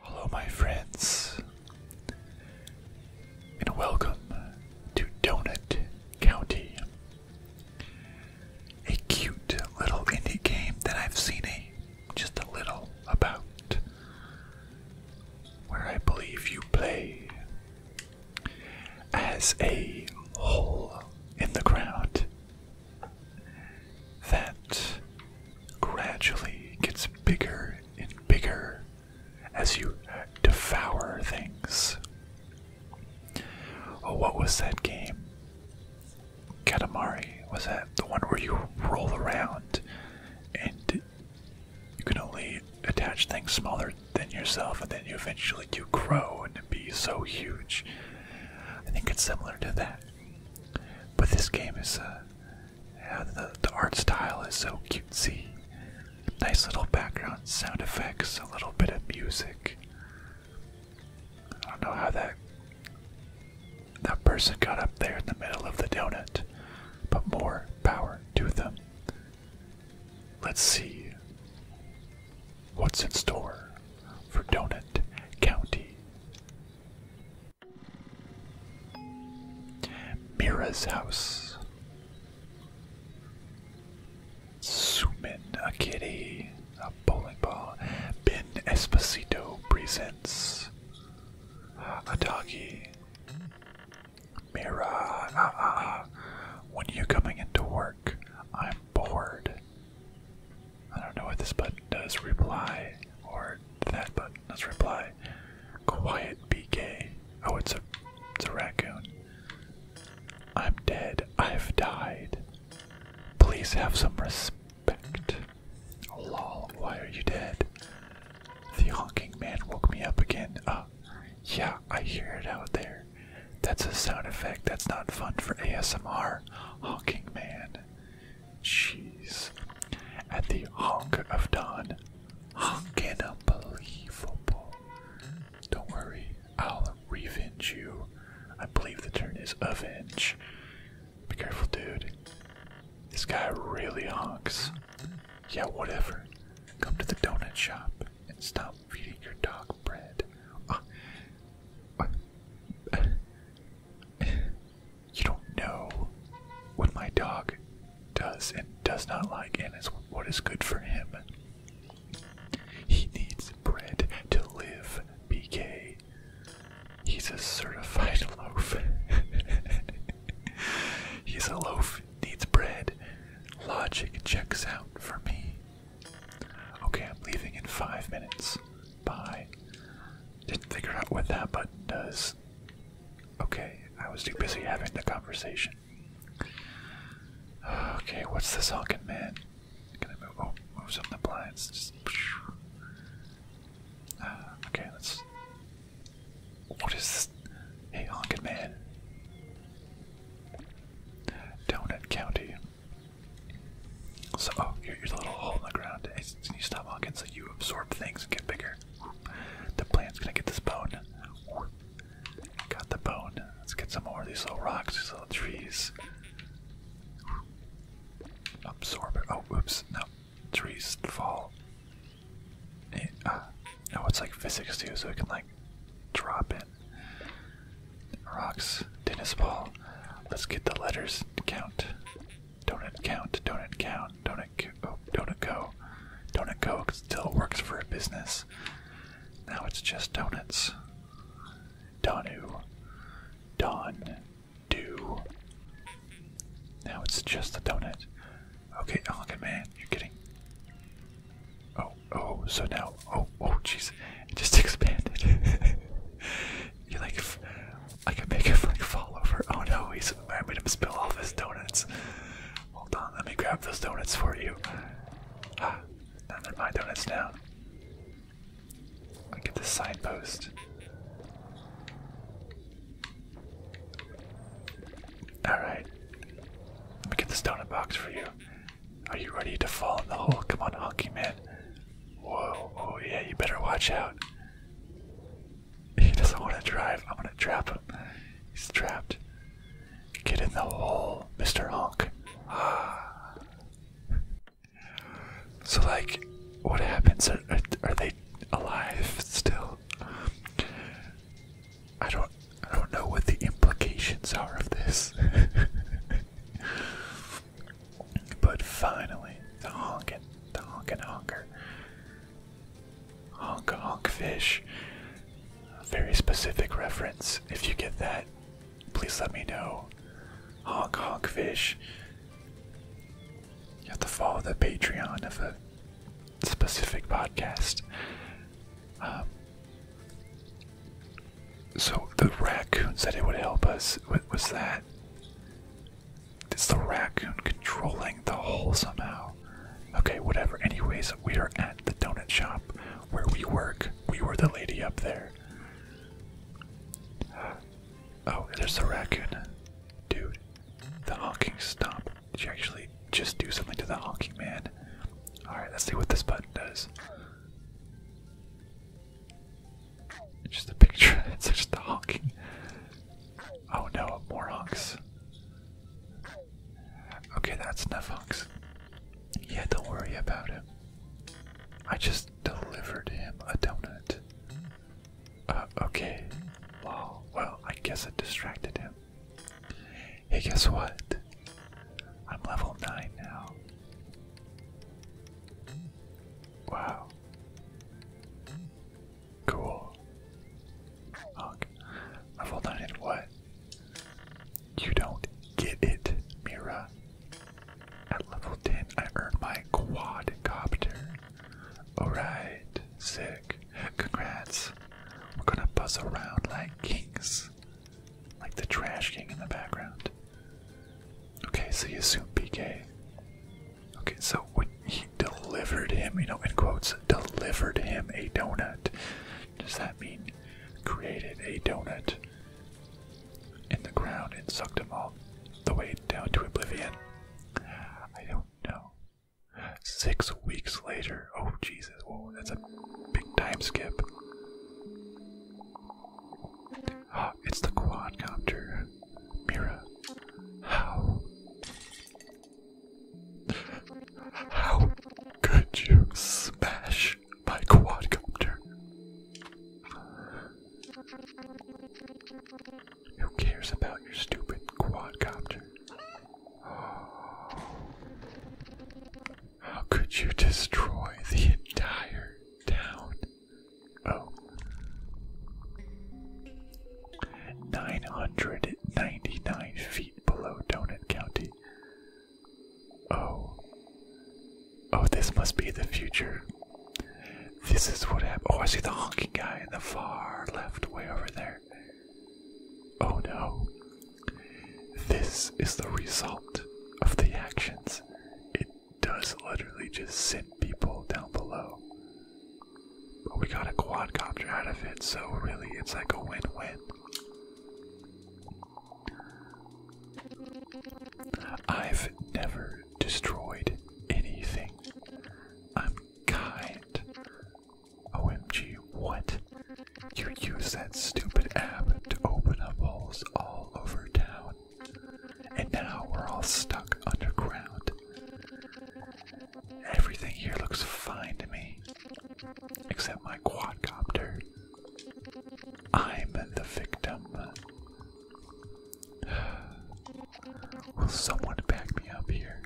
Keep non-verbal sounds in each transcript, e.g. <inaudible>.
Hello, my friends, and welcome to Donut County, a cute little indie game that I've seen a just a little about, where I believe you play as a hole in the ground that gradually gets bigger and bigger as you devour things. Oh, what was that game? Katamari, was that the one where you roll around and you can only attach things smaller than yourself and then you eventually do grow and be so huge I think it's similar to that. But this game is, uh, yeah, the, the art style is so cutesy. Nice little background sound effects, a little bit of music. I don't know how that that person got up there in the middle of the donut, but more power to them. Let's see what's in store for Donut County. Mira's house. Suman, a kitty, a bowling ball. Ben Esposito presents a doggy. Mira, ah, ah, ah. when are you coming into work? I'm bored. I don't know what this button does. Reply or that button does reply. Quiet be gay. Oh, it's a it's a raccoon. I'm dead. I've died. Please have some respect. Lol. Why are you dead? The honking man woke me up again. Uh, yeah, I hear it out there. That's a sound effect. That's not fun for ASMR. Honking man. Jeez. At the honk of dawn. Honking unbelievable. Don't worry, I'll revenge you. I believe the turn is avenge. Be careful, dude. This guy really honks. Yeah, whatever. Come to the donut shop and stop feeding your dog bread. Ah you don't know what my dog does and does not like, and is what is good for him. He needs bread to live, be gay. He's a certified <laughs> loaf. He's a loaf, needs bread. Logic checks out for me. Okay, I'm leaving in five minutes. Bye. Didn't figure out what that button does. Okay, I was too busy having the conversation. Okay, what's this honking man? Can I move? Oh, move some the blinds. Uh, okay, let's. What is this? Hey, honking man. Donut County. So, oh, here's a little hole in the ground. It's, you stop walking so you absorb things and get bigger. The plant's gonna get this bone. Got the bone. Let's get some more of these little rocks, these little trees. Absorb it. Oh, whoops! no. Trees fall. It, uh, eh, ah. it's like physics too, so we can like drop it. Rocks, tennis ball. Let's get the letters count. Donut count, donut count, donut oh, donut go. Donut go still works for a business. Now it's just donuts. Donu. Don. Do. Now it's just the donut. Okay, Elkin man, you're getting. Oh, oh, so now Oh, oh, oh, jeez, it just expanded. <laughs> you like, I can make it like fall over. Oh no, he's, I made him spill all his donuts. Hold on, let me grab those donuts for you. Ah, now they're my donuts now. I get the signpost. Alright. Let me get this donut box for you. Are you ready to fall in the hole? Come on, honky man. Whoa, oh yeah, you better watch out. He doesn't want to drive. i want to trap him. He's trapped. Get in the hole, Mr. Honk. Ah. so, like, what happens? Are, are, are they alive still? I don't. I don't know what the implications are of this. <laughs> But finally, the honkin', the honkin' honker. Honk honk fish. very specific reference. If you get that, please let me know. Honk honk fish. You have to follow the Patreon of a specific podcast. Um, so the raccoon said it would help us. What was that? It's the raccoon controlling the hole somehow. Okay, whatever. Anyways, we are at the donut shop where we work. We were the lady up there. Oh, there's the raccoon. Dude, the honking stop. Did you actually just do something to the honking man? Alright, let's see what this button does. It's just a picture. <laughs> It's just the honking. Oh no, more honks. Okay, that's enough honks. Yeah, don't worry about him. I just delivered him a donut. Uh, okay. Well, well, I guess it distracted him. Hey, guess what? I'm level 9 now. Wow. Cool. Okay. Level 9 in what? You don't get it, Mira. At level 10, I earned my quadcopter. Alright, sick. Congrats. We're gonna buzz around like kings. Like the trash king in the background. Okay, so you assume PK. Okay, so when he delivered him, you know, in quotes, delivered him a donut, does that mean created a donut in the ground and sucked him all the way down to oblivion? I don't know. Six weeks later. Oh, Jesus. Whoa, that's a big time skip. <gasps> it's the quadcopter. Mira. How? How could you smash my quadcopter? Who cares about your stupid quadcopter? <gasps> How could you destroy the entire town? Oh. 999 feet below Donut County. Oh. Oh, this must be the future. This is what happened. Oh, I see the honking guy in the far left, way over there. Oh no. This is the result of the actions does literally just send people down below. But we got a quadcopter out of it, so really it's like a win win. I've never destroyed anything. I'm kind. OMG, what? You use that stupid app to open up holes all over town. And now we're all stuck underground. Everything here looks fine to me, except my quadcopter. I'm the victim. <sighs> Will someone back me up here?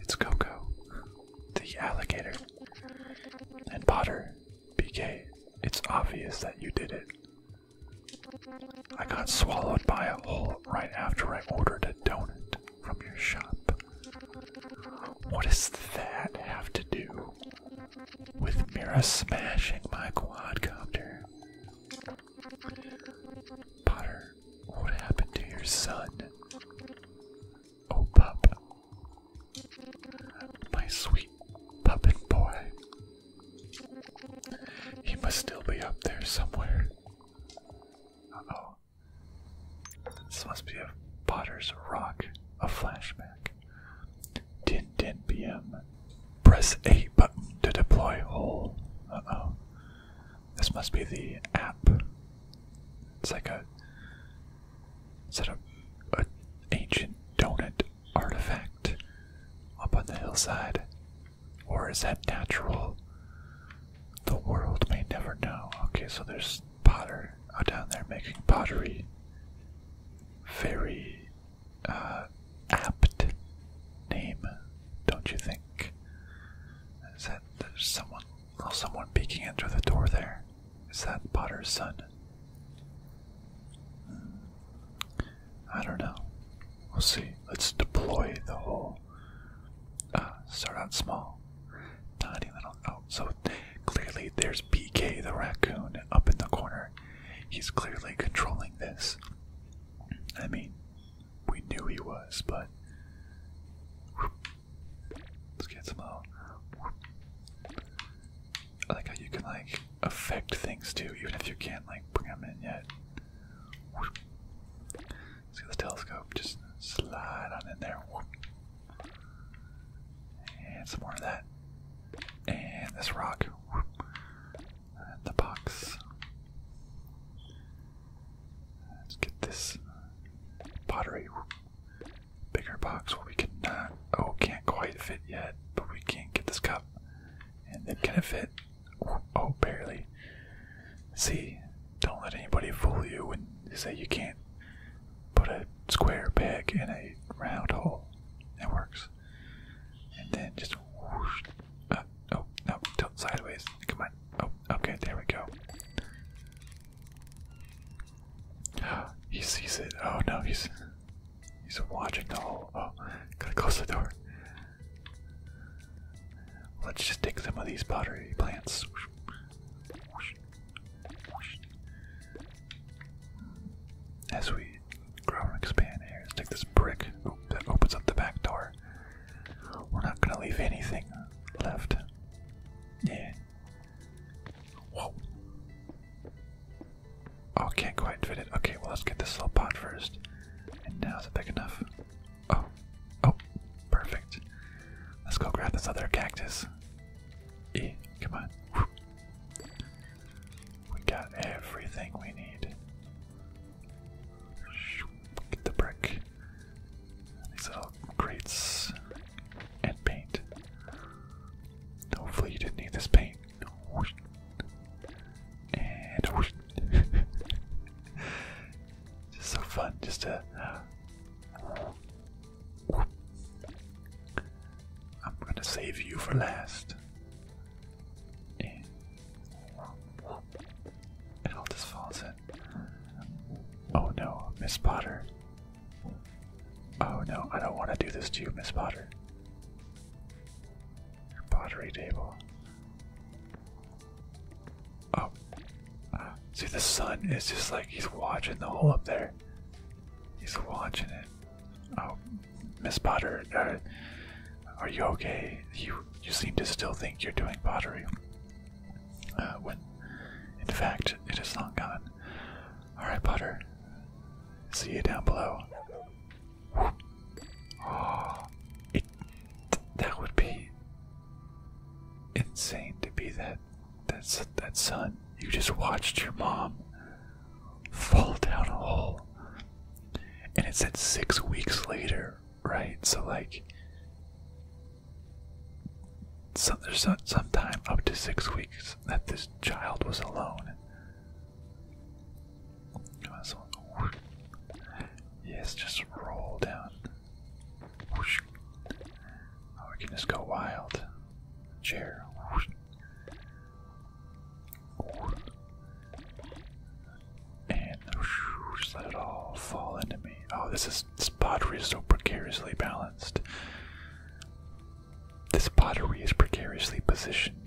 It's Coco, the alligator, and Potter. BK, it's obvious that you did it. I got swallowed by a hole right after I ordered a donut from your shop. What does that have to do with Mira smashing my quadcopter? Potter, what happened to your son? Oh, pup. My sweet puppet boy. He must still be up there somewhere. Uh oh. This must be a Potter's Rock, a flashback. 10 10 p.m. Press A button to deploy hole. Uh oh. This must be the app. It's like a. set of a, a ancient donut artifact up on the hillside? Or is that natural? The world may never know. Okay, so there's potter oh, down there making pottery. Very uh, apt name, don't you think? Is that there's someone, oh, someone peeking in through the door there? Is that Potter's son? I don't know. We'll see. Let's deploy the whole. Uh, start out small. Tiny little. Oh, so clearly there's BK the raccoon up in the corner. He's clearly controlling this. I mean, we knew he was, but. Let's get some out. I like how you can like affect things too, even if you can't like bring them in yet. Whoop. Let's get the telescope, just slide on in there. And some more of that. And this rock. And the box. Let's get this pottery. Bigger box where we can not. Oh, can't quite fit yet, but we can get this cup and it kind of fit. Oh, barely. See, don't let anybody fool you and say you can't put a square peg in a round hole. It works. And then just whoosh. Uh, oh, no, tilt sideways. Come on. Oh, okay, there we go. <gasps> He sees it. Oh no, he's He's watching the hole. Oh, gotta close the door. Let's just take some of these pottery plants. As we grow and expand here, let's take this brick that opens up the back door. We're not gonna leave anything left. Yeah. Oh, can't quite fit it. Okay, well, let's get this little pot first. And now is it big enough? Oh, oh, perfect. Let's go grab this other cactus. E, come on. We got everything we need. Get the brick. These little crates and paint. Hopefully, you didn't need this paint and <laughs> just so fun, just to. I'm gonna save you for last. And it all just falls in. Oh no, Miss Potter. Oh no, I don't want to do this to you, Miss Potter. Your pottery table. Oh. see, the sun is just like he's watching the hole up there. He's watching it. Oh, Miss Potter, uh, are you okay? You you seem to still think you're doing pottery. Uh, when, in fact, it is long gone. All right, Potter. See you down below. <gasps> that would be insane to be that that son. You just watched your mom fall down a hole. And it said six weeks later, right? So like some, there's some, some time up to six weeks that this child was alone that's one. Yes, just roll down. we oh, can just go wild. Chair. And just let it all fall into me. Oh, this is this pottery is so precariously balanced. This pottery is precariously positioned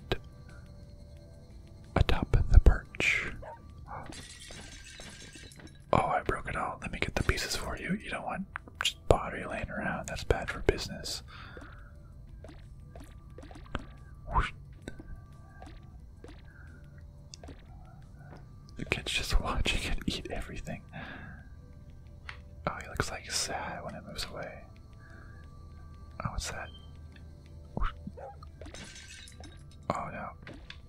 atop the perch. Oh, I broke it all. Let me get the pieces for you. You don't want just pottery laying around. That's bad for business. The kid's just watching it eat everything. Oh, he looks like sad when it moves away. Oh, what's that? Oh no,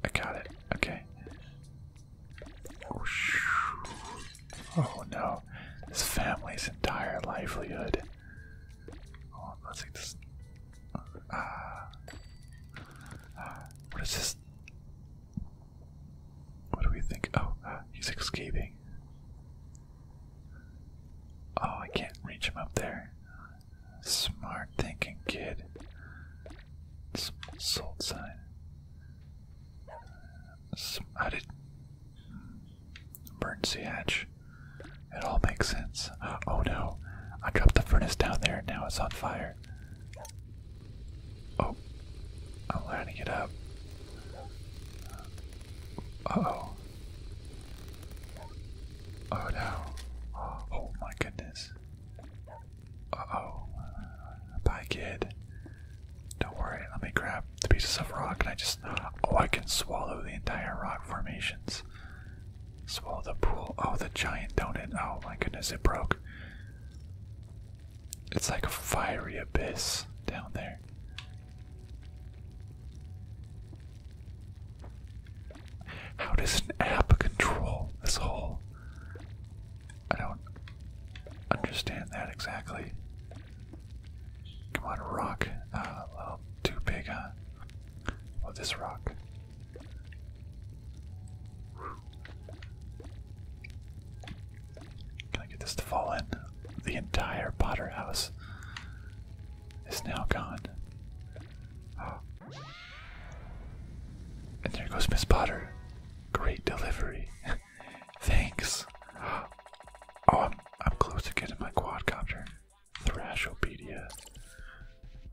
I got it. Okay. Oh no, this family's entire livelihood. Oh, let's see this. Ah. ah, what is this? What do we think? Oh, uh, he's escaping. Oh, I can't reach him up there. Smart thinking, kid. Salt sign. How did emergency hatch? It all makes sense. Oh no, I dropped the furnace down there. Now it's on fire. Oh, I'm lining it up. Uh-oh. Oh no. Oh my goodness. Uh-oh. Bye, kid. Don't worry, let me grab the pieces of rock and I just... Oh, I can swallow the entire rock formations. Swallow the pool. Oh, the giant donut. Oh my goodness, it broke. It's like a fiery abyss down there. How does an app control this whole? I don't understand that exactly. Come on, rock. a uh, little too big, huh? Oh, this rock. Can I get this to fall in? The entire Potter house is now gone. And there goes Miss Potter. Great delivery. <laughs> Thanks. <gasps> Oh, I'm, I'm close to getting my quadcopter. Thrashopedia.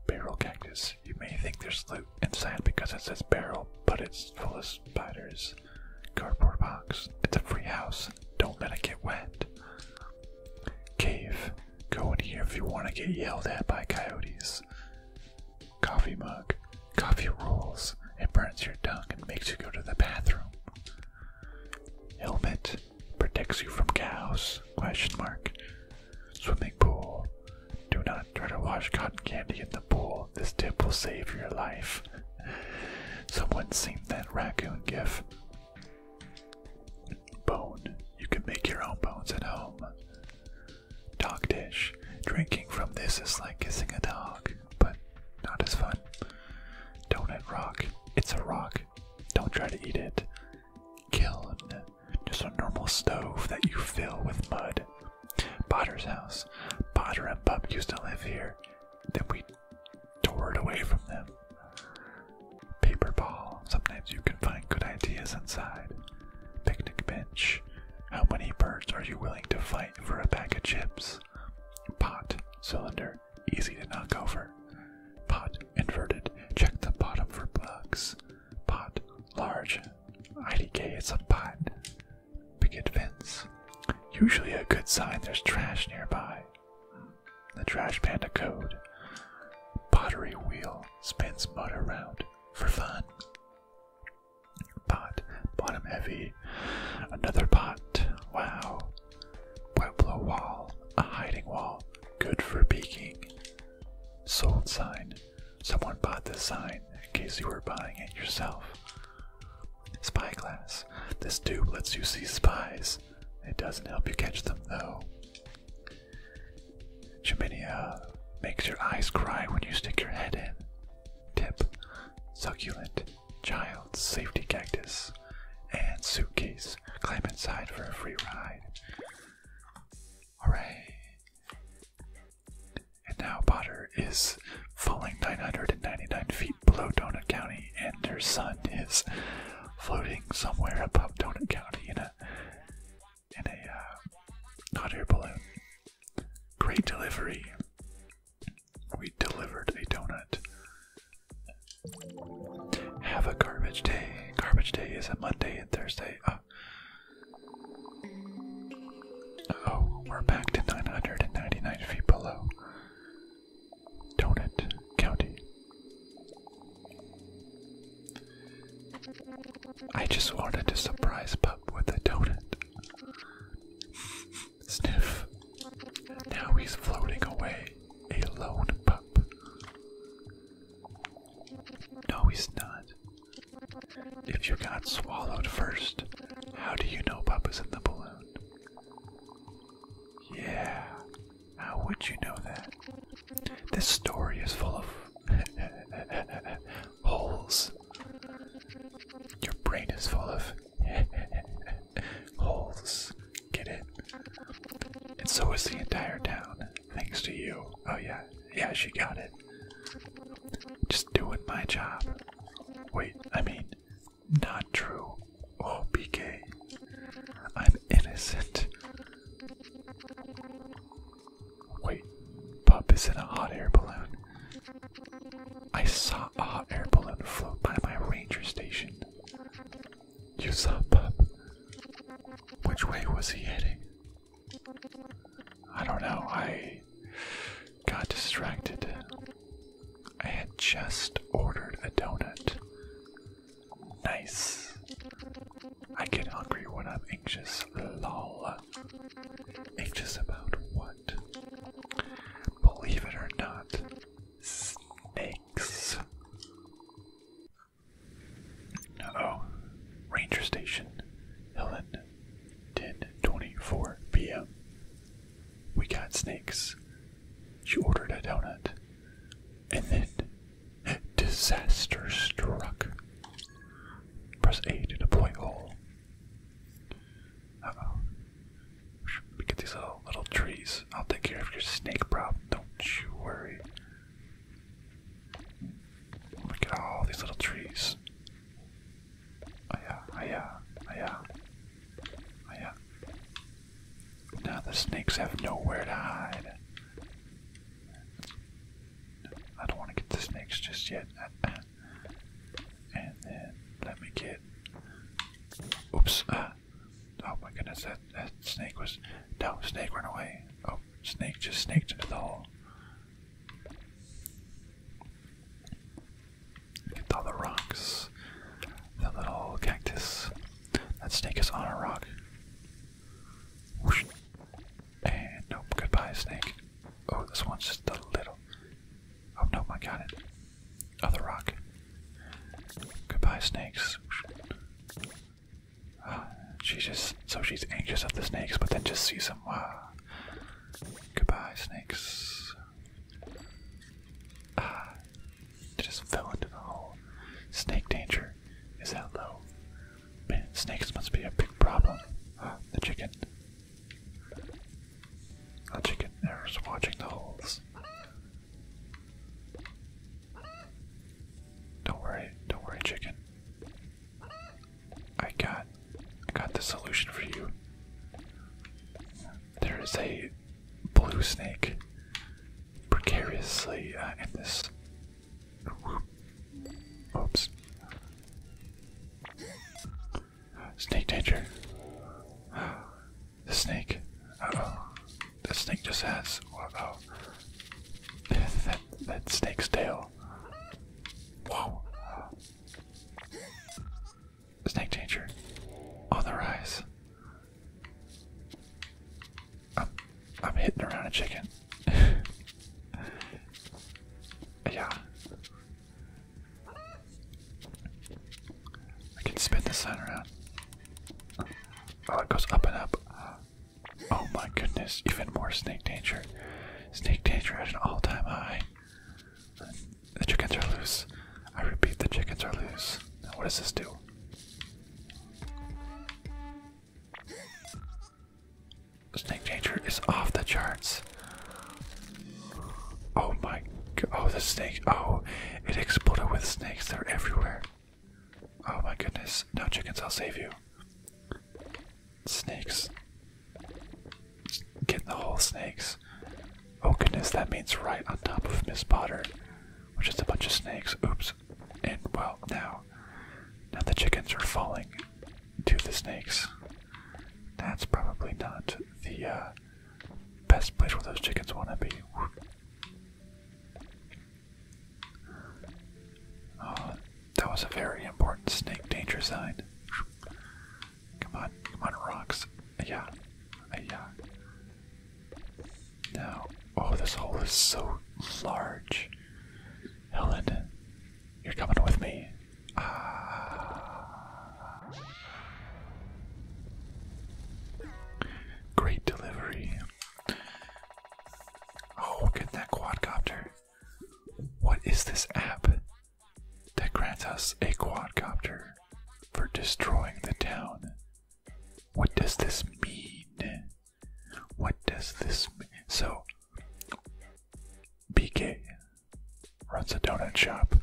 Barrel cactus. You may think there's loot inside because it says barrel, but it's full of spiders. Cardboard box. It's a free house. Don't let it get wet. Cave. Go in here if you want to get yelled at by coyotes. Coffee mug. Coffee rolls. It burns your tongue and makes you go to the bathroom. Helmet. Protects you from cows. Question mark. Swimming pool. Do not try to wash cotton candy in the pool. This tip will save your life. <laughs> Someone seen that raccoon gif. Bone. You can make your own bones at home. Dog dish. Drinking from this is like kissing a dog, but not as fun. Donut rock. It's a rock. Don't try to eat it. Kill. Just a normal stove that you fill with mud. Potter's house. Potter and Pup used to live here. Then we tore it away from them. Paper ball. Sometimes you can find good ideas inside. Picnic bench. How many birds are you willing to fight for a bag of chips? Pot. Cylinder. Easy to knock over. Pot. Inverted. Check the bottom for bugs. Pot. Large. IDK, it's a pot. Picket fence. Usually a good sign there's trash nearby the Trash Panda Code. Pottery wheel spins mud around for fun. Pot, bottom heavy. Another pot. Wow. Pueblo wall, a hiding wall. Good for peeking. Sold sign. Someone bought this sign in case you were buying it yourself. Spyglass. This tube lets you see spies. It doesn't help you catch them, though. Chaminia makes your eyes cry when you stick your head in. Tip Succulent, Child, Safety Cactus, and Suitcase. Climb inside for a free ride. Alright. And now Potter is falling 999 feet below Donut County, and their son is floating somewhere above Donut County in a in a uh, hot air balloon. Great delivery. We delivered a donut. Have a garbage day. Garbage day is a Monday and Thursday. oh, oh we're back to 999 feet below. Donut County. I just wanted to surprise Pup with a donut. Sniff. Now he's floating away, a lone pup. No, he's not. If you got swallowed first, how do you know Pup is in the balloon? Yeah, how would you know that? This story is full of <laughs> holes. Your brain is full of <laughs> holes. Get it? And so is the entire town, thanks to you. Oh, yeah. Yeah, she got it. Just doing my job. Wait, I mean, not true. Oh, PK. I'm innocent. Wait, Pup is in a hot air balloon. I saw a hot air balloon float by my ranger station. You saw Pup. Which way was he heading? I don't know. I got distracted. I had just ordered a donut Nice. I get hungry when I'm anxious. Lol. Anxious about what? Believe it or not, snakes. oh. Ranger Station, Helen, 10:24 p.m. We got snakes. She ordered a donut. And then disaster struck. Press A to deploy all. Uh oh. these little, little trees. I'll take care of your snake problem. Don't you worry. Look at all these little trees. Oh yeah, oh yeah, oh yeah. Oh, yeah. Now the snakes have nowhere to hide. I don't want to get the snakes just yet. And then let me get. Oops. Uh, oh my goodness, that, that snake was. No, snake ran away. Oh, snake just snaked into the hole. Get all the rocks, the little cactus. That snake is on a rock. And nope, goodbye, snake. Oh, this one's just a little. Oh, no, I got it. Other oh, rock. Goodbye, snakes. Uh, she just so she's anxious of the snakes, but then just sees them. Wow. Ah. Goodbye, snakes. Ah, just fell into the hole. Snake danger is that low. Man, snakes must be a big problem. the chicken. The chicken is watching the holes. Don't worry, don't worry, chicken. I got, I got the solution for you. There is a blue snake precariously uh, in this. Oops. Snake danger. The snake. oh. The snake just has. oh. that, that snake's tail. Whoa. Snake danger. On the rise. I'm, I'm hitting around a chicken. <laughs> yeah. I can spin this sign around. Oh, it goes up and up. Oh my goodness, even more snake danger. Snake danger at an all time high. The chickens are loose. I repeat, the chickens are loose. Now, what does this do? Snake danger is off the charts. Oh my god. Oh, the snake. Oh, it exploded with snakes. They're everywhere. Oh my goodness. No, chickens, I'll save you. Snakes. Get the whole snakes. Oh goodness, that means right on top of Miss Potter, which is a bunch of snakes. Oops. And well, now, now the chickens are falling to the snakes. That's probably not the uh, best place where those chickens want to be. Oh, that was a very important snake danger sign. Come on, come on, rocks. Yeah, yeah. Now, oh, this hole is so large. Helen, you're coming with me. Ah. Great delivery. Oh, look at that quadcopter. What is this app that grants us a quadcopter for destroying the town? What does this mean? What does this mean? So, BK runs a donut shop.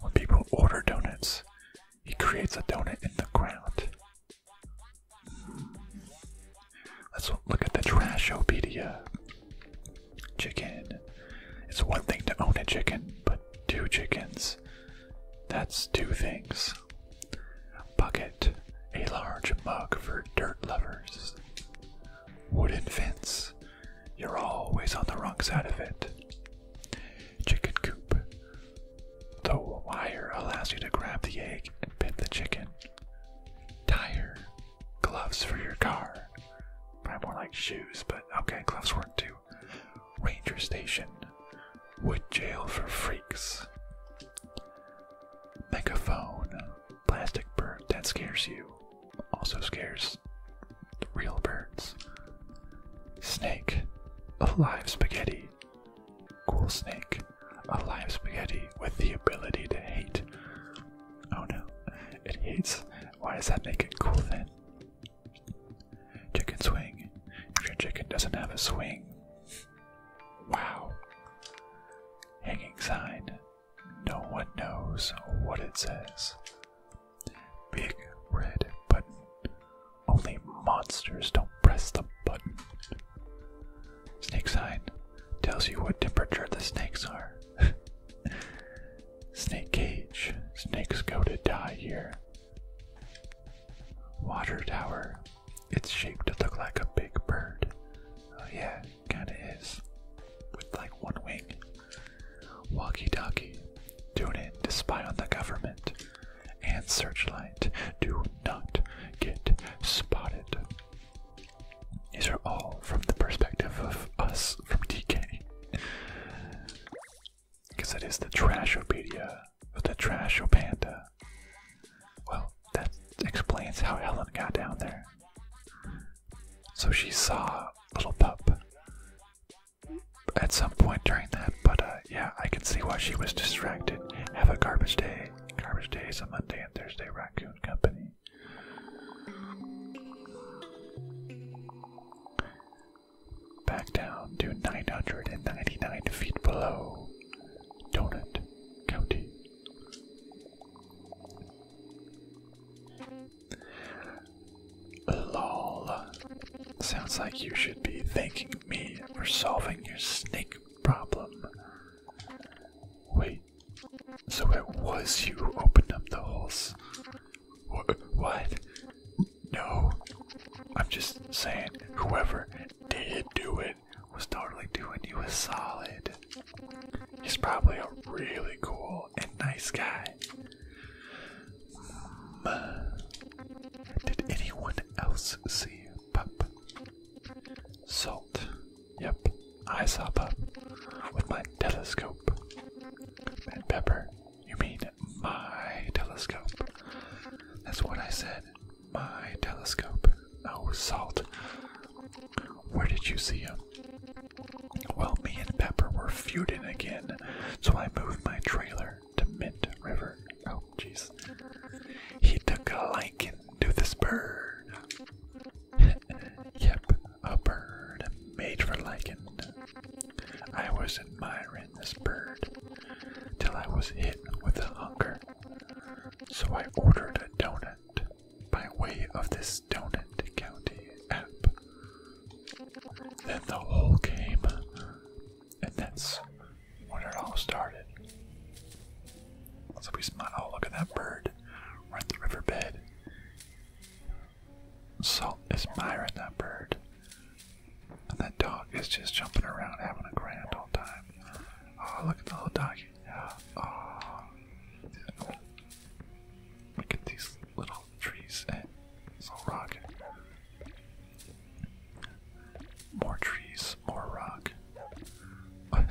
When people order donuts, he creates a donut in the ground. Let's look at the trash opedia. Chicken. It's one thing to own a chicken, but two chickens that's two things. Bucket, a large mug for dirt lovers. Wooden fence, you're always on the wrong side of it. Chicken coop, the wire allows you to grab the egg and pin the chicken. Tire, gloves for your car. Probably more like shoes, but okay, gloves work too. Ranger Station, Wood Jail for Freaks, Megaphone, Plastic Bird that scares you, also scares real birds, Snake, A live Spaghetti, Cool Snake, A live Spaghetti with the ability to hate. Oh no, it hates. Why does that make it cool then? Chicken swing. If your chicken doesn't have a swing. Wow. Hanging sign. No one knows what it says. Big red button. Only monsters don't press the button. Snake sign tells you what temperature the snakes are. <laughs> snake cage. Snakes go to die here water tower. It's shaped to look like a big bird. Oh, yeah, kinda is. With like one wing. Walkie talkie. doing it to spy on the government. And searchlight. Do not get spotted. These are all from the perspective of us from DK. Because it is the Trashopedia of the Trashopanda. Well, that explains how Helen got down there. So she saw little pup at some point during that, but uh, yeah, I can see why she was distracted. Have a garbage day. Garbage day is a Monday and Thursday raccoon company back down to 999 feet below Donut County. Lol. Sounds like you should be thanking me for solving your snake problem. Wait, so it was you who opened up the holes? what? No. I'm just saying, whoever did do it was totally doing you a solid. He's probably a really cool and nice guy. Mm. Did anyone else see Pup? Salt. Yep, I saw Pup with my telescope. And Pepper, you mean my telescope? That's what I said. My telescope. Oh, Salt. Where did you see him? Well, me and Pepper were feuding again, so I moved my trailer to Mint River. Oh, jeez. He took a liking to this bird. <laughs> yep, a bird made for liking. I was admiring this bird till I was hit with a hunger. So I ordered a donut by way of this Donut County app. Then the whole came, and that's when it all started. So be smiled. Oh, look at that bird right the riverbed. Salt is admiring that bird. And that dog is just jumping around, having a grand old time. Oh, look at the little doggy. Oh, look at these little trees and all little rock. More trees, more rock. <laughs>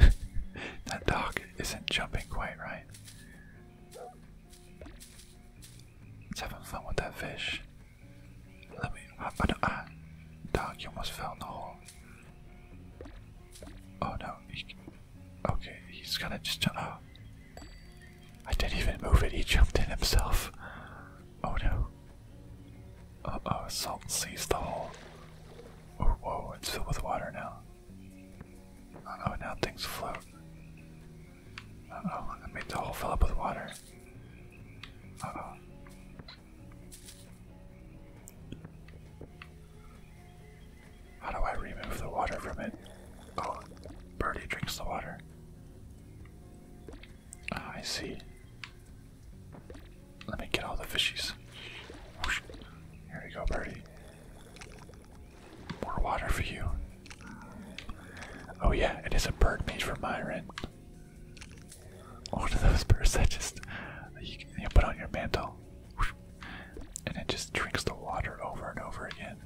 that dog isn't jumping quite right. It's having fun with that fish. Let me. I, I ah, dog, you almost fell in the hole. Oh no. okay, he's gonna just. Oh. I didn't even move it. He jumped in himself. Oh no. Uh oh, salt sees the hole. Oh, whoa, it's filled with water now. Uh oh, now things float. Uh oh, I make the hole fill up with water. How do I remove the water from it? Oh, Birdie drinks the water. Ah, I see. Let me get all the fishies. Here you go, Birdie. More water for you. Oh yeah, it is a bird made for Myrin. One of those birds that just you, put on your mantle, and it just drinks the water over and over again.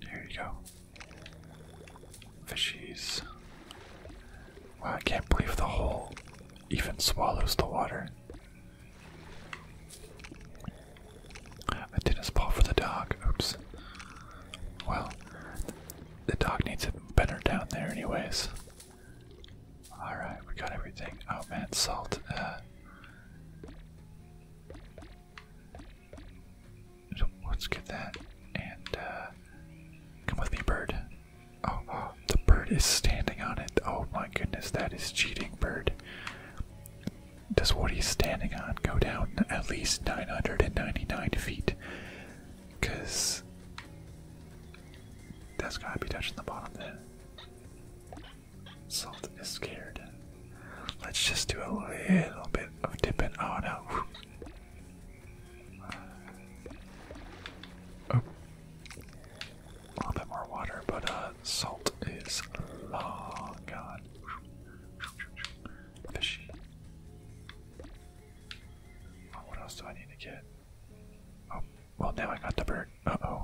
Here you go. Fishies. I can't believe the hole even swallows the water. A tennis ball for the dog. Oops. Well, the dog needs it better down there, anyways. Alright, we got everything. Oh man, salt. Uh, let's get that. And uh, come with me, bird. Oh, oh, the bird is standing on it. Oh my goodness, that is cheating, bird does what he's standing on go down at least 999 feet? Because that's gotta be touching the bottom then. Salt is scared. Let's just do a little bit of dipping. Oh no. A little bit more water, but uh, salt is long gone. Fishy. Oh, what else do I need to get? Oh, well, now I got the bird. Uh oh.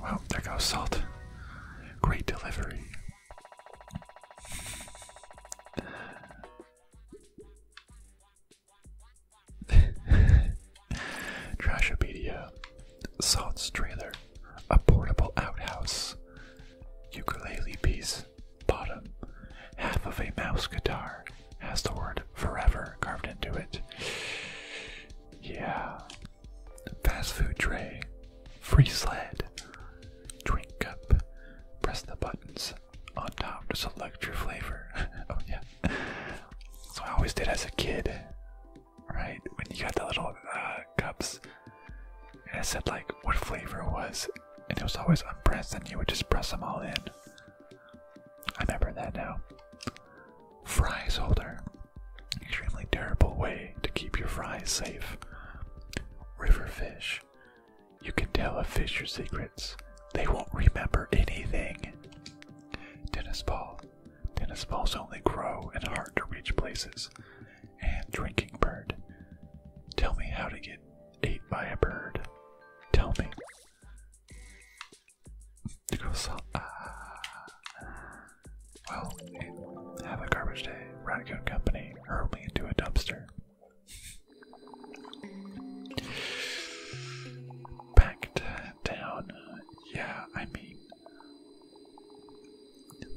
Well, there goes salt. Great delivery. <laughs> Trashopedia. Salt's trailer a portable outhouse, ukulele piece, bottom, half of a mouse guitar, has the word forever carved into it. Yeah. Fast food tray, free sled, drink cup, press the buttons on top to select your flavor. <laughs> oh, yeah. So I always did as a kid, right? When you got the little uh, cups, and it said like what flavor it was, and it was always unpressed, and you would just press them all in. I remember that now. Fries holder, extremely terrible way to keep your fries safe. River fish, you can tell a fish your secrets. They won't remember anything. Tennis ball. Tennis balls only grow in hard to reach places and drinking bird. Tell me how to get ate by a bird. Tell me. To go salt. Ah. Well, have a garbage day. Raccoon Company hurled me into a dumpster. Packed down. Yeah, I mean,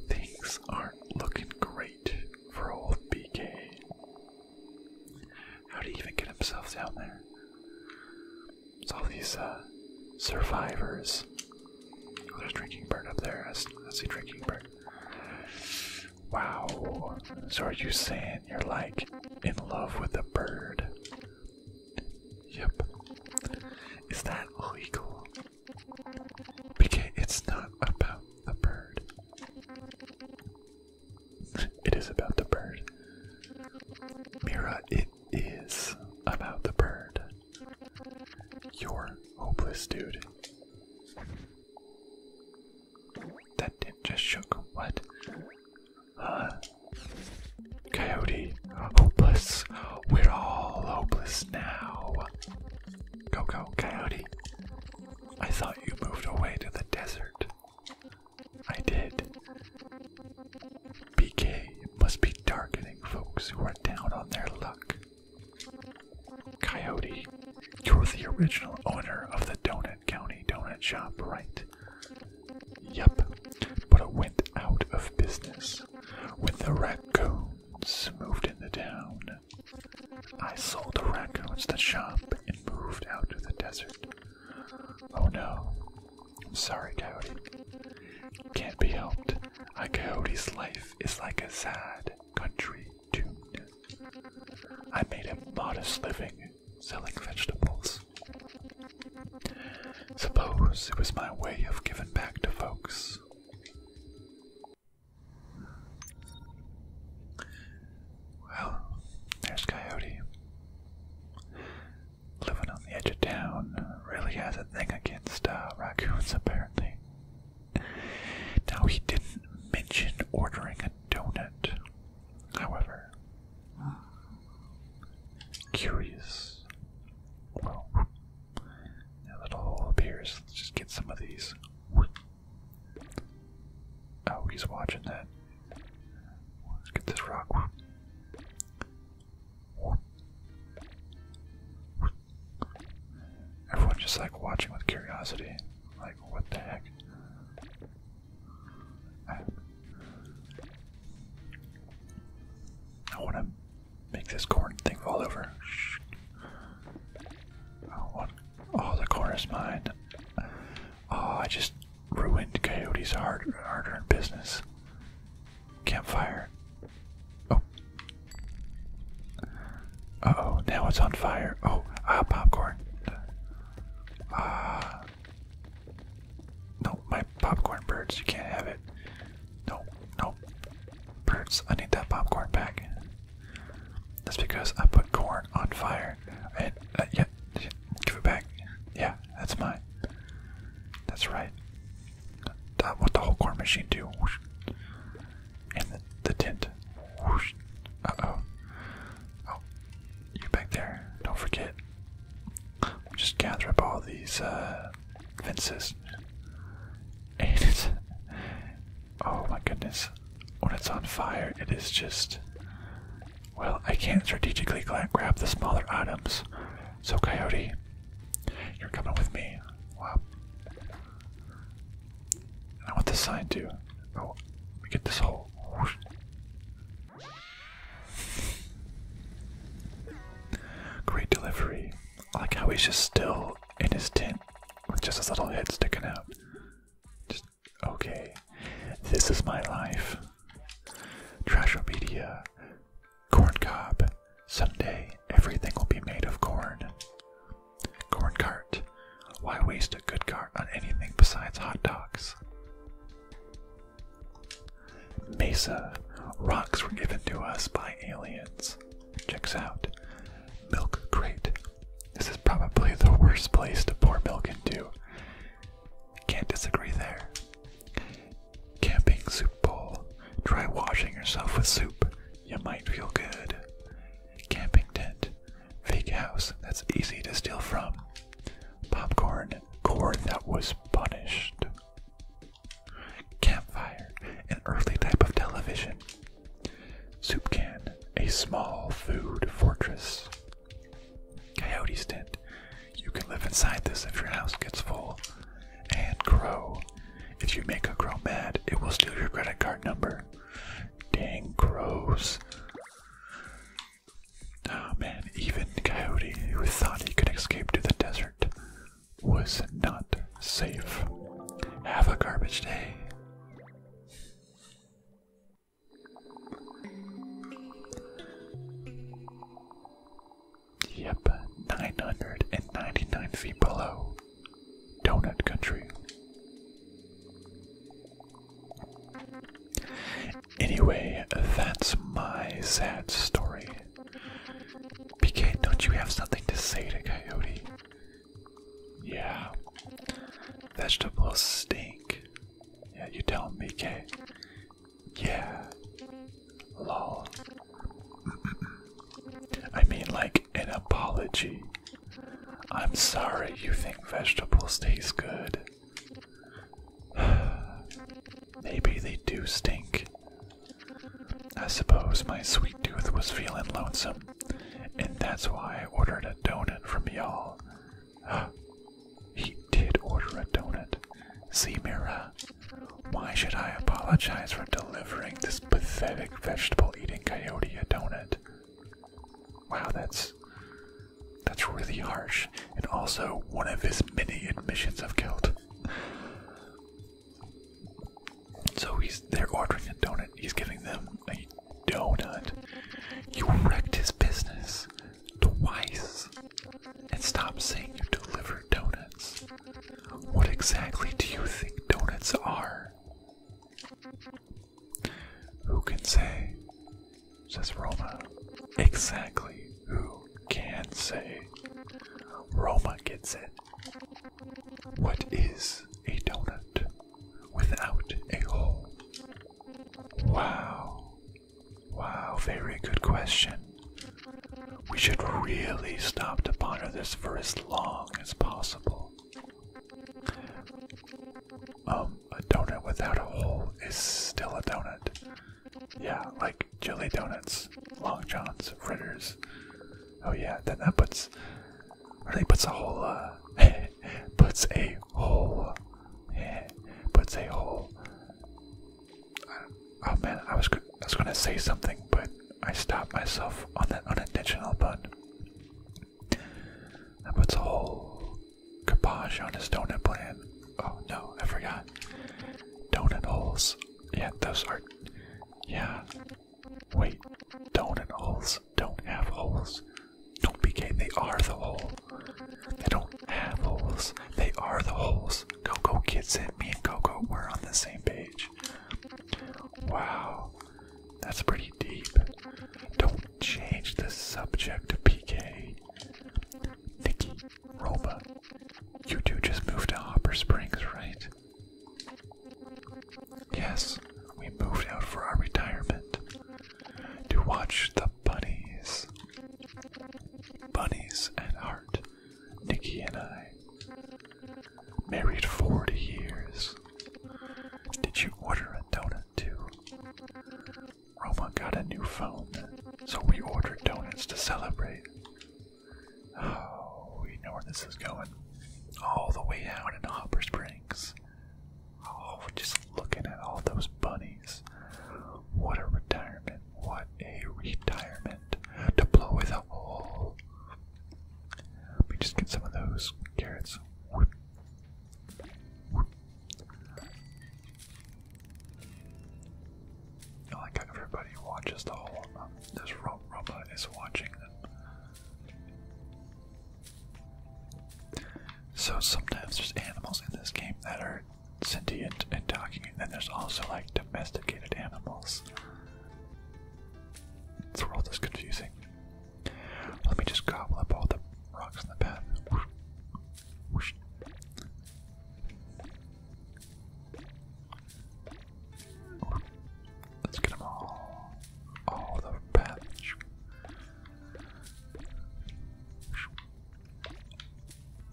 Things aren't looking great for old BK. How do he even get himself down there? It's all these uh, survivors. Oh, there's drinking bird up there. I see drinking bird. Wow. So are you saying you're like in love with a bird? Yep. Is that legal? BK, it's not about the bird. it is about the bird. Mira, it is about the bird. You're hopeless, dude. That did just shook. What? Huh? Coyote, hopeless. We're all hopeless now. Coco, Coyote, I thought you moved away to the desert. I did. BK must be targeting folks who are down on their luck. Coyote, you're the original owner of the Donut County Donut Shop, right? Yep, but it went out of business when the raccoons moved into town. I sold the raccoons to the shop and moved out to the desert. Oh no. I'm sorry, Coyote. Can't be helped. A coyote's life is like a sad country tune. I made a modest living selling vegetables. Suppose it was my way of giving back to folks. Well, there's Coyote. Living on the edge of town really has a thing against uh, raccoons, apparently. Now, he didn't mention ordering a donut, however. Curious. Now that hole appears, let's just get some of these. Oh, he's watching that. Let's get this rock. Everyone just like watching with curiosity. Like, what the heck? I want to Make this corn thing fall over. Oh, what? oh the corn is mine. Oh, I just ruined Coyote's hard, hard-earned business. Campfire. Oh. Uh oh, now it's on fire. Oh, ah, popcorn. Ah. no, my popcorn birds, you can't have it. Nope, nope, Birds, I need that popcorn back. That's because I put corn on fire. And, uh, yeah, give it back. Yeah, that's mine. That's right. That's what the whole corn machine do? And the, tent. Uh oh. Oh, you back there. Don't forget. We'll just gather up all these uh, fences. <laughs> And it's, Oh my goodness. When it's on fire, it is just. Well, I can't strategically grab the smaller items. So, Coyote, you're coming with me. Wow. I want this sign too. Oh, we get this whole. Great delivery. like how he's just still in his tent with just his little head sticking out. okay. This is my life. Trashopedia, corn cob. Someday everything will be made of corn. Corn cart. Why waste a good cart on anything besides hot dogs? Mesa. Rocks were given to us by aliens. Checks out. Milk crate. This is probably the worst place to pour milk into. Can't disagree there. Camping soup bowl. Try washing yourself with soup. You might feel good. Camping tent. Fake house that's easy to steal from. Popcorn. Corn that was punished. Campfire. An early type of television. Soup Can, a small food fortress. Coyote's Tent, you can live inside this if your house gets full. And Crow, if you make a crow mad, it will steal your credit card number. Dang crows. Oh man, even Coyote, who thought he could escape to the desert, was not safe. Have a garbage day. Yep, 999 feet below. Donut Country. Anyway, that's my sad story. PK, don't you have something to say to Coyote? Yeah. Vegetables stink. Yeah, you tell me, Kay. Yeah. Lol. I mean, like, an apology. I'm sorry you think vegetables taste good. <sighs> Maybe they do stink. I suppose my sweet tooth was feeling lonesome, and that's why I ordered a donut from y'all. <gasps> he did order a donut. See, Mira, why should I apologize for delivering this pathetic vegetable eating coyote a donut? Wow, that's. That's really harsh, and also one of his many admissions of guilt. So he's they're ordering a donut. He's giving them a donut. You wrecked his business twice. And stop saying you deliver donuts. What exactly do you think donuts are? Who can say? Says Roma. Exactly who can say? Roma gets it. What is a donut without a hole? Wow. Wow, very good question. We should really stop to ponder this for as long as possible. Um, a donut without a hole is still a donut. Yeah, like jelly donuts, long johns, fritters. Oh yeah, then that puts I puts a whole uh, <laughs> puts a whole yeah, <laughs> puts a hole. oh man I was I was gonna say something but I stopped myself on that unintentional button. That puts a hole garbage on his donut plan. Oh no, I forgot. Donut holes. Yeah, those are yeah, Wait, don't holes don't have holes. Don't be gay, they are the holes. They don't have holes, they are the holes. Coco kids and me and Coco, we're on the same page. Wow, that's pretty deep. Don't change the subject to PK. Nikki, Roma, you two just moved to Hopper Springs, right? Yes, we moved out for our retirement to watch the bunnies. Bunnies at heart, Nikki and I. Married 40 years. Did you order a donut too? Roma got a new phone, so we ordered donuts to celebrate. Oh, we know where this is going. All the way down in Hopper Springs. Oh, we're just looking at all those bunnies. What a retirement. What a retirement. To blow with a hole. Let me just get some of those carrots. Whoop. how everybody watches the whole. Um, this robot is watching them. So sometimes there's animals in this game that are sentient and talking, and then there's also like domesticated animals. This world is confusing. Let me just gobble up all the rocks in the path. Let's get them all. All the paths.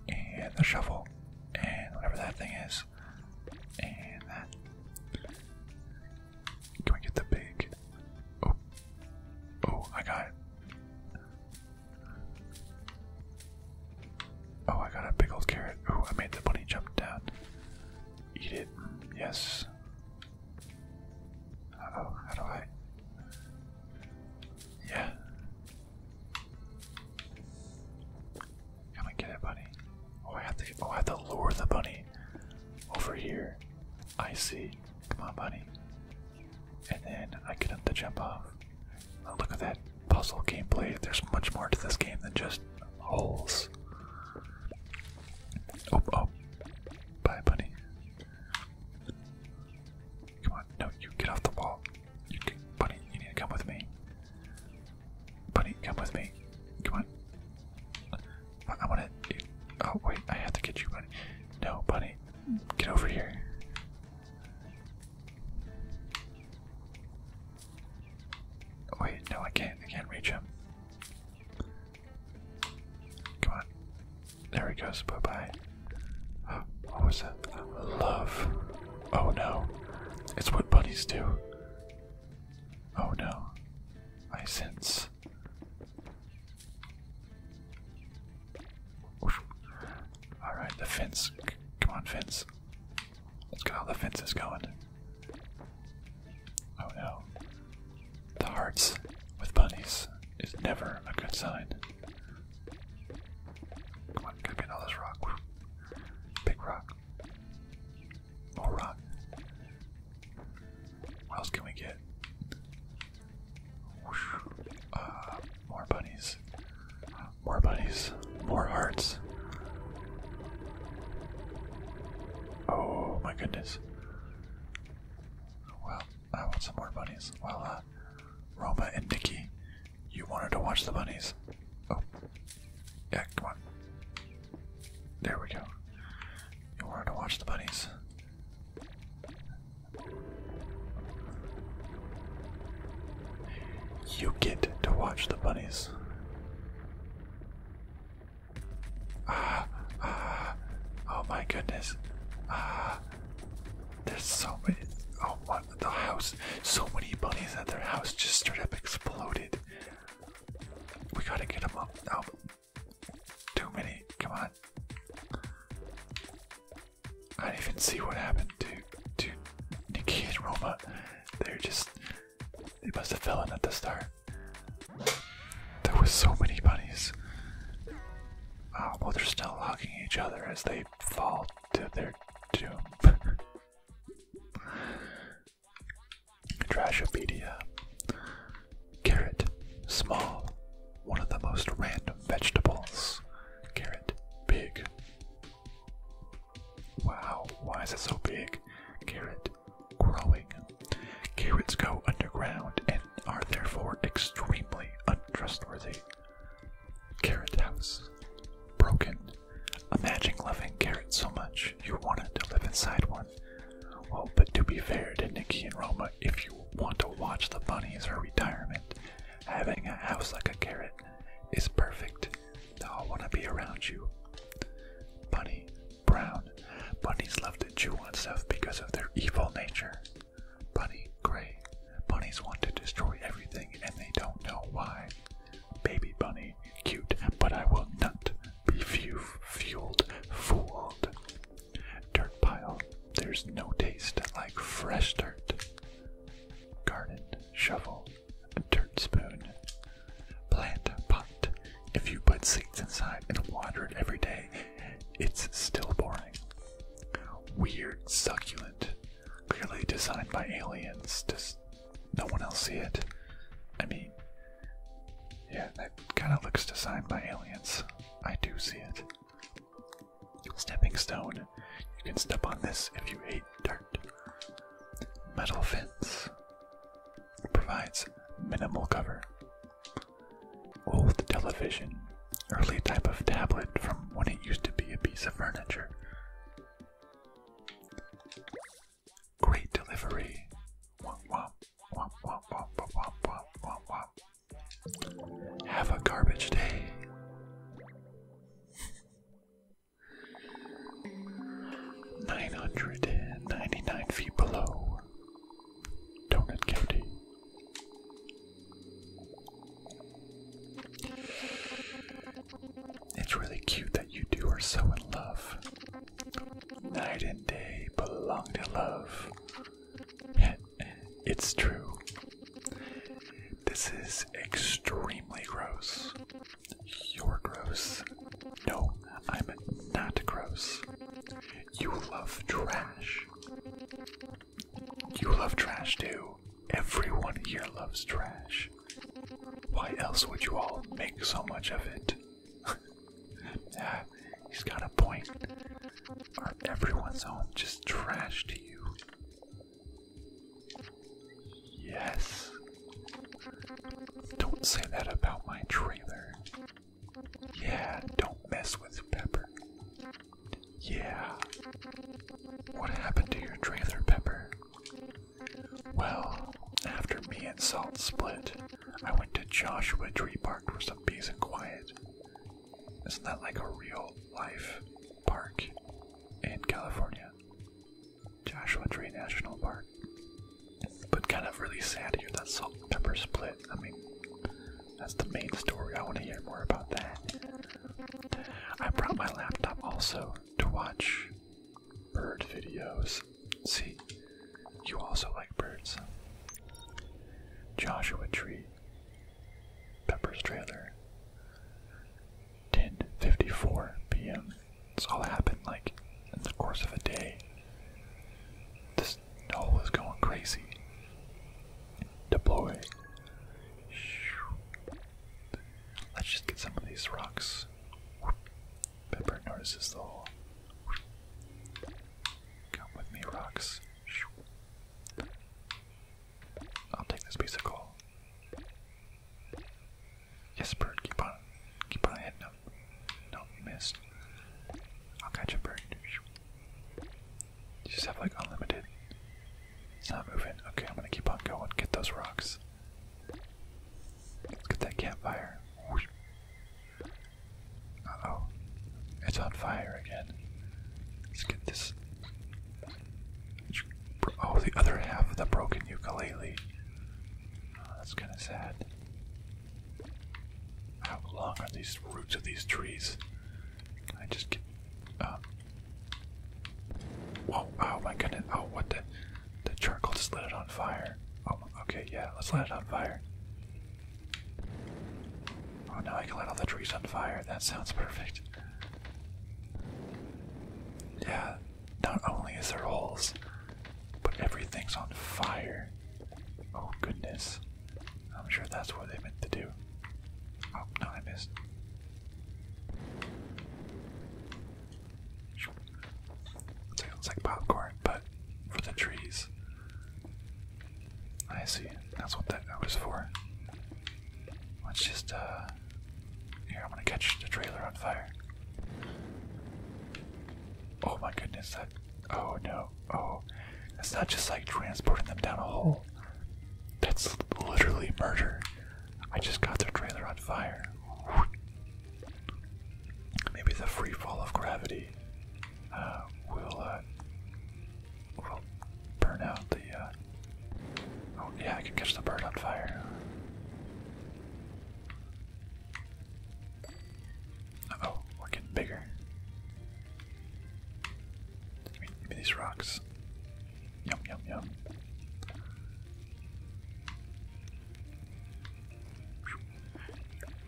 And the shovel. And whatever that thing is. And that. Can we get the big. Oh. Oh, I got it. Oh, I got a big old carrot. Oh, I made the bunny jump down. Eat it. Yes. oh, how do I? Yeah. Come I get it, bunny. Oh, I have to. Oh, I have to lure the bunny over here. I see. Come on, bunny. And then I get him to jump off. look at that puzzle gameplay. There's much more to this game than just holes. Oh, oh. Bye, bunny. Come on, no, you get off the wall. You can, bunny, you need to come with me. Bunny, come with me. Come on. I want to. Oh, wait, I have to get you, bunny. No, bunny, get over here. Wait, no, I can't. I can't reach him. Come on. There he goes. Bye bye. Oh, what was that? Love. Oh no. It's what bunnies do. Oh no. I sense. Alright, the fence. C come on, fence. Let's get all the fences going. Oh no. The hearts with bunnies is never a good sign. Come on, gotta get all this rock. Big rock. More rock. What else can we get? Uh, more bunnies. More bunnies. More hearts. Oh my goodness. Well, I want some more bunnies. Well, uh, Roma and Nikki, you wanted to watch the bunnies. Oh, yeah, come on. There we go. You wanted to watch the bunnies. You get to watch the bunnies. <sighs> oh my goodness. <sighs> there's so many. Oh, what the house? So many bunnies at their house just straight up exploded. We gotta get them out. Oh, too many. Come on. I do not even see what happened to to Nikki and Roma. They're just they must have fallen at the start. There were so many bunnies. Oh, well, they're still hugging each other as they fall to their doom. <laughs> Trashopedia. Carrot. Small. One of the most random vegetables. Carrot. Big. Wow, why is it so big? Carrot growing. Carrots go underground and are therefore extremely untrustworthy. Carrot House. Broken. Imagine loving carrots so much you wanted to live inside one. Oh, but to be fair to Nikki and Roma, if you want to watch the bunnies or retirement, having a house like a carrot is perfect. They'll want to be around you. Bunny brown. Bunnies love to chew on stuff because of their evil nature. Bunny gray. Bunnies want to destroy everything and they don't know why. Baby bunny, cute, but I will not be fu fueled, fooled. Dirt pile. There's no taste like fresh dirt. Garden shovel. Dirt spoon. Plant pot. If you put seeds inside and water it every day, it's still boring. Weird succulent. Clearly designed by aliens. Does no one else see it? I mean, yeah, that kind of looks designed by aliens. I do see it. Stepping stone. You can step on this if you hate dirt. Metal fence provides minimal cover. Old television, early type of tablet from when it used to be a piece of furniture. Great delivery. Have a garbage day. 999 feet below Donut County. It's really cute that you two are so in love. Night and day belong to love. <laughs> it's true. This is extremely gross. You're gross. No, I'm not gross. You love trash. You love trash too. Everyone here loves trash. Why else would you all make so much of it? <laughs> yeah, he's got a point. Are everyone's home just trash to you? Yes, don't say that about my trailer. Yeah, don't mess with Pepper. Yeah. What happened to your trailer, Pepper? Well, after me and Salt split, I went to Joshua Tree Park for some peace and quiet. Isn't that like a real life park in California? Joshua Tree National Park. But kind of really sad to hear that salt pepper split. I mean, that's the main story. I want to hear more about that. I brought my laptop also to watch bird videos. See, you also like birds. Joshua Tree, Pepper's Trailer, 10:54 p.m. It's all happened like in the course of a day. This hole is going crazy. Deploy. Let's just get some of these rocks. Pepper notices the hole. Come with me, rocks. I'll take this piece of coal. Yes, bird, keep on keep on heading No, No, you missed. I'll catch a bird. You just have like unlimited. It's not moving. Okay, I'm gonna keep on going. Get those rocks. Let's get that campfire. Uh oh. It's on fire again. Let's get this. Oh, the other half of the broken ukulele. Oh, that's kind of sad. How long are these roots of these trees? I just um, oh my goodness. Oh, what the. The charcoal just lit it on fire. Oh, okay, yeah, let's light it on fire. Oh, now I can light all the trees on fire. That sounds perfect. Yeah, not only is there holes, but everything's on fire. Oh goodness. I'm sure that's what they meant to do. Oh, no, I missed. It's like popcorn, but for the trees. I see. That's what that was for. Let's just, uh. Here, I'm gonna catch the trailer on fire. Oh my goodness, that. Oh no. Oh. it's not just like transporting them down a hole. That's literally murder. I just got their trailer on fire. Maybe the free fall of gravity uh, will, uh, will burn out the. Uh, oh, yeah, I can catch the bird on fire. Uh oh, we're getting bigger. Give me, give me these rocks. Yum, yum, yum.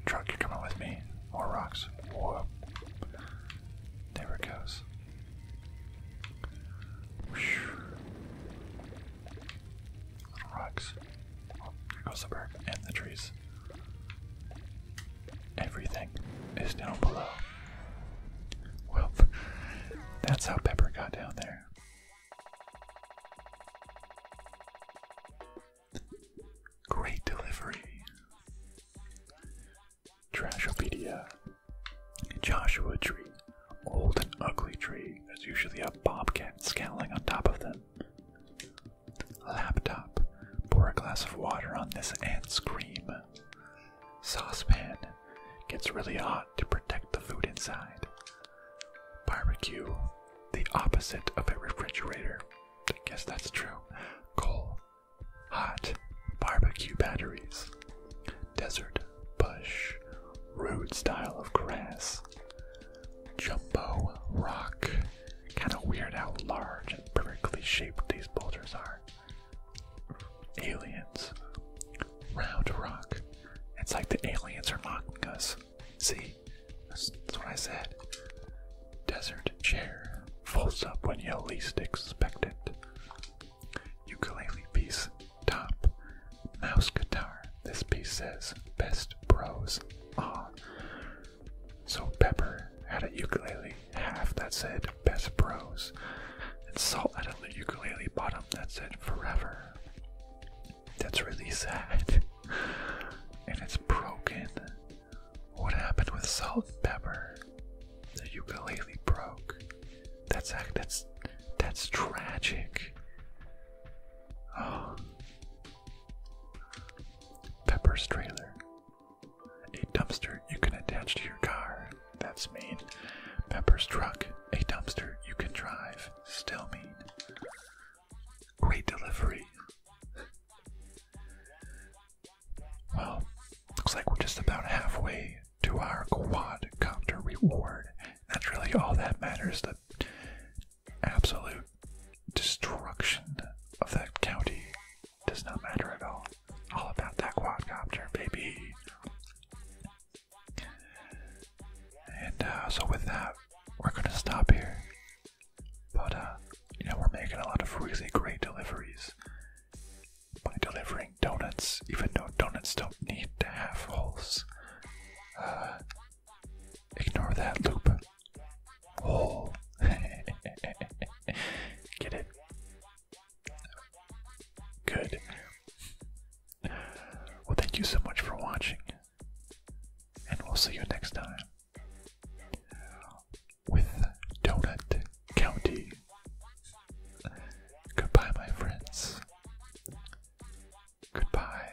Truck, you're coming with me. More rocks. Whoa. There it goes little rocks. There goes the bird and the trees. Everything is down below. Well, that's how Pepper got down there. Great delivery. Trashopedia. Joshua tree. Old and ugly tree. There's usually a bobcat scowling on top of them. Laptop. Pour a glass of water on this ant's cream. Saucepan. Gets really hot to protect the food inside. Barbecue. The opposite of a refrigerator. I guess that's true. Coal. Hot. Barbecue batteries. Desert. Bush. Rude style of grass jumbo rock. Kind of weird how large and perfectly shaped these boulders are. Aliens. Round rock. It's like the aliens are mocking us. See? That's, what I said. Desert chair. Folds up when you least expect it. Ukulele piece. Top. Mouse guitar. This piece says best bros. Ah. So Pepper had a ukulele half that said best bros. And Salt had a ukulele bottom that said forever. That's really sad. <laughs> and it's broken. What happened with Salt Pepper? The ukulele broke. That's that's that's tragic. Oh, Pepper's trailer. A dumpster you can attach to your car. That's mean. Pepper's truck. A dumpster you can drive. Still mean. Great delivery. Well, looks like we're just about halfway to our quadcopter reward. That's really all that matters absolute destruction of that county does not matter at all. All about that quadcopter, baby. And uh, so with that, we're gonna stop here. But uh, you know, we're making a lot of really great deliveries by delivering donuts, even though donuts don't need to have holes. Uh, Ignore that loop. Oh. <laughs> Get it? Good. Well, thank you so much for watching, and we'll see you next time with Donut County. Goodbye, my friends. Goodbye.